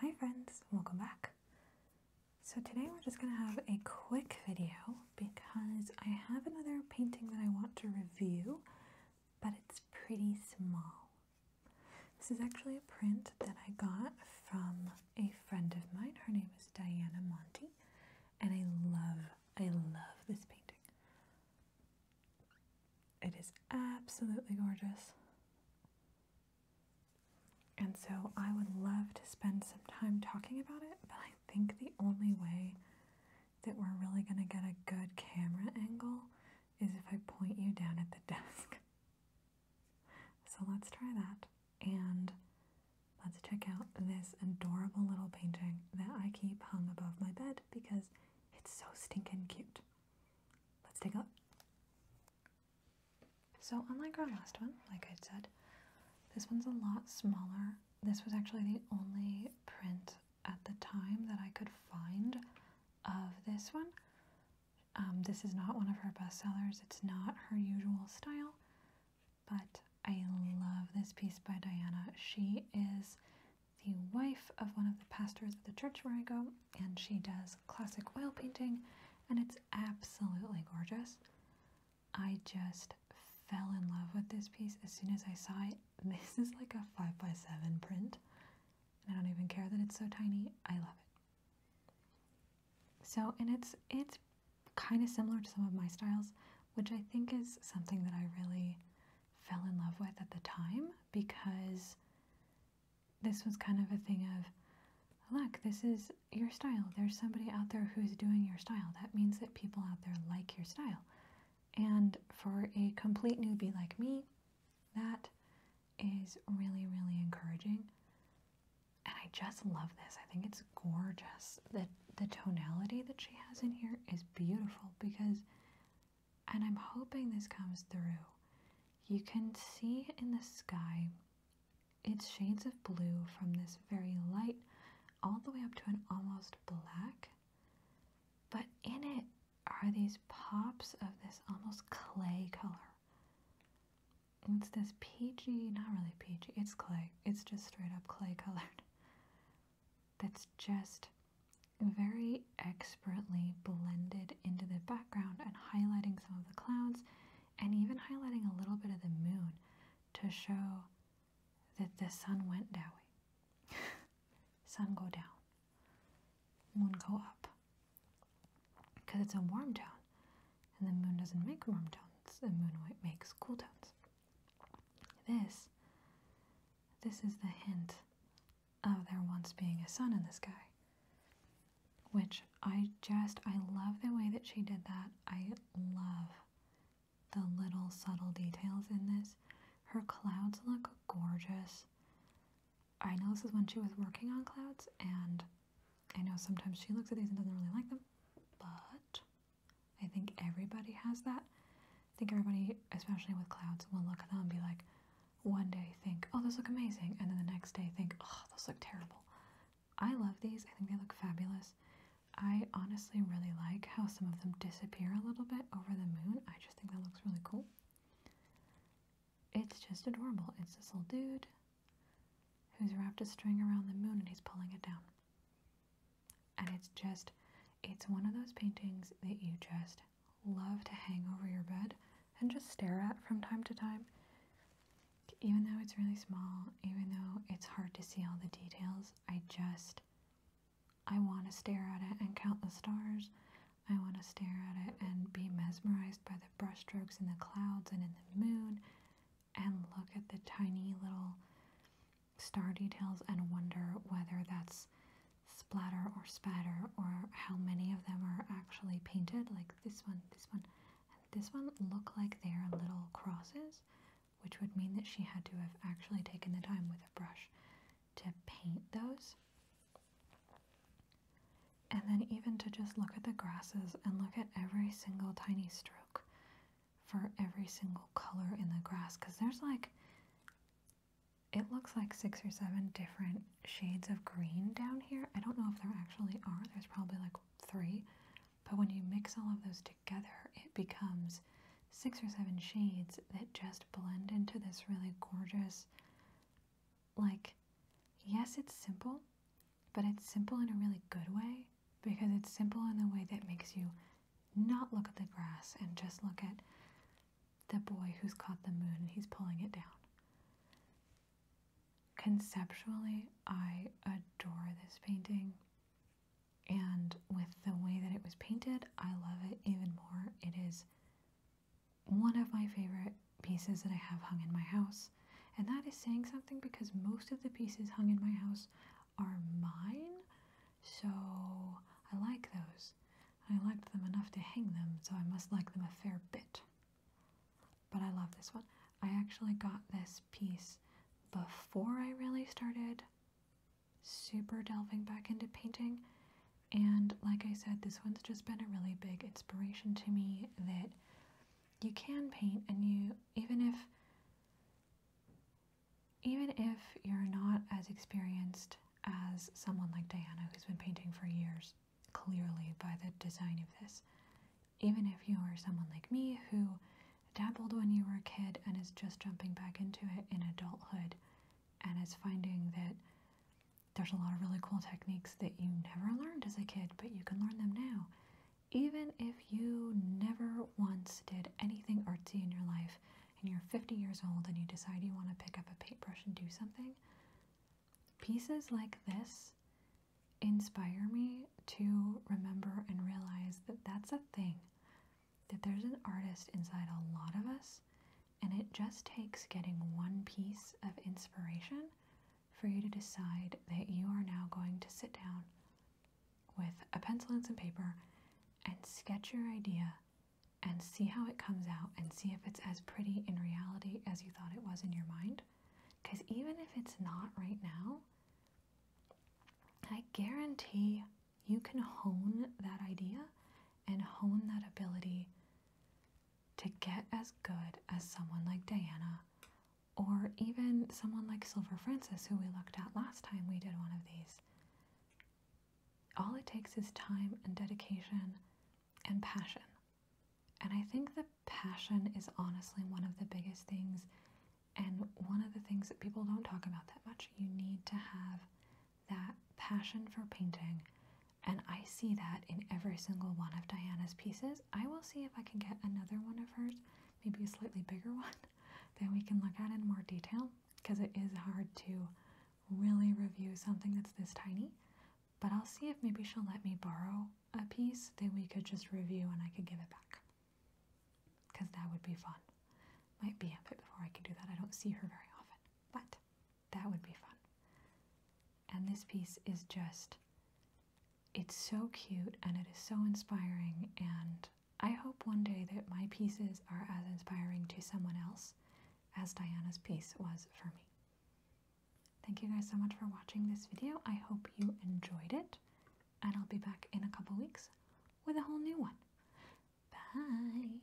Hi friends, welcome back. So today we're just going to have a quick video because I have another painting that I want to review, but it's pretty small. This is actually a print that I got from a friend of mine. Her name is Diana Monty, and I love, I love this painting. It is absolutely gorgeous. And so I would love to spend some time talking about it, but I think the only way that we're really going to get a good camera angle is if I point you down at the desk. So let's try that. And let's check out this adorable little painting that I keep hung above my bed because it's so stinking cute. Let's take a look. So unlike our last one, like I said, this one's a lot smaller. This was actually the only print at the time that I could find of this one. Um, this is not one of her bestsellers. It's not her usual style, but I love this piece by Diana. She is the wife of one of the pastors of the church where I go, and she does classic oil painting, and it's absolutely gorgeous. I just fell in love with this piece as soon as I saw it. This is like a 5x7 print, and I don't even care that it's so tiny. I love it. So, and it's it's kind of similar to some of my styles, which I think is something that I really fell in love with at the time because this was kind of a thing of look, this is your style. There's somebody out there who's doing your style. That means that people out there like your style. And for a complete newbie like me, that is really, really encouraging. And I just love this. I think it's gorgeous. The, the tonality that she has in here is beautiful because and I'm hoping this comes through. You can see in the sky it's shades of blue from this very light all the way up to an almost black. But in it are these pops of this almost clay color. It's this peachy, not really peachy, it's clay. It's just straight up clay colored. That's just very expertly blended into the background and highlighting some of the clouds and even highlighting a little bit of the moon to show that the sun went down. sun go down, moon go up. Because it's a warm tone and the moon doesn't make warm tones, the moon makes cool tones. This, this is the hint of there once being a sun in the sky. Which I just, I love the way that she did that. I love the little subtle details in this. Her clouds look gorgeous. I know this is when she was working on clouds, and I know sometimes she looks at these and doesn't really like them, but I think everybody has that. I think everybody, especially with clouds, will look at them and be like, one day think, oh, those look amazing, and then the next day think, oh, those look terrible. I love these, I think they look fabulous. I honestly really like how some of them disappear a little bit over the moon. I just think that looks really cool. It's just adorable. It's this little dude who's wrapped a string around the moon and he's pulling it down and it's just it's one of those paintings that you just love to hang over your bed and just stare at from time to time even though it's really small even though it's hard to see all the details i just i want to stare at it and count the stars i want to stare at it and be mesmerized by the brushstrokes in the clouds and in the moon and look at the tiny little star details and wonder whether that's splatter or spatter or how many of them are actually painted like this one this one this one look like they're little crosses which would mean that she had to have actually taken the time with a brush to paint those and then even to just look at the grasses and look at every single tiny stroke for every single color in the grass because there's like it looks like six or seven different shades of green down here. I don't know if there actually are. There's probably like three. But when you mix all of those together, it becomes six or seven shades that just blend into this really gorgeous, like, yes, it's simple but it's simple in a really good way because it's simple in the way that makes you not look at the grass and just look at the boy who's caught the moon and he's pulling it down. Conceptually, I adore this painting. And with the way that it was painted, I love it even more. It is one of my favorite pieces that I have hung in my house. And that is saying something because most of the pieces hung in my house are mine. So I like those. I liked them enough to hang them, so I must like them a fair bit. But I love this one. I actually got this piece before I really started super delving back into painting. And like I said, this one's just been a really big inspiration to me that you can paint and you even if even if you're not as experienced as someone like Diana who's been painting for years clearly by the design of this even if you are someone like me who dabbled when you were a kid and is just jumping back into it in adulthood and is finding that there's a lot of really cool techniques that you never learned as a kid, but you can learn them now. Even if you never once did anything artsy in your life and you're 50 years old and you decide you want to pick up a paintbrush and do something, pieces like this inspire me to remember and realize that that's a thing, that there's an artist inside a lot of us, and it just takes getting one piece of inspiration for you to decide that you are now going to sit down with a pencil and some paper and sketch your idea and see how it comes out and see if it's as pretty in reality as you thought it was in your mind. Because even if it's not right now, I guarantee you can hone that idea and hone that ability to get as good as someone like Diana or even someone like Silver Francis, who we looked at last time we did one of these. All it takes is time and dedication and passion. And I think that passion is honestly one of the biggest things and one of the things that people don't talk about that much. You need to have that passion for painting and I see that in every single one of Diana's pieces. I will see if I can get another one of hers, maybe a slightly bigger one, that we can look at in more detail because it is hard to really review something that's this tiny. But I'll see if maybe she'll let me borrow a piece that we could just review and I could give it back because that would be fun. Might be a bit before I can do that. I don't see her very often, but that. would be fun. And this piece is just, it's so cute and it is so inspiring. And I hope one day that my pieces are as inspiring to someone else as Diana's piece was for me. Thank you guys so much for watching this video. I hope you enjoyed it. And I'll be back in a couple weeks with a whole new one. Bye!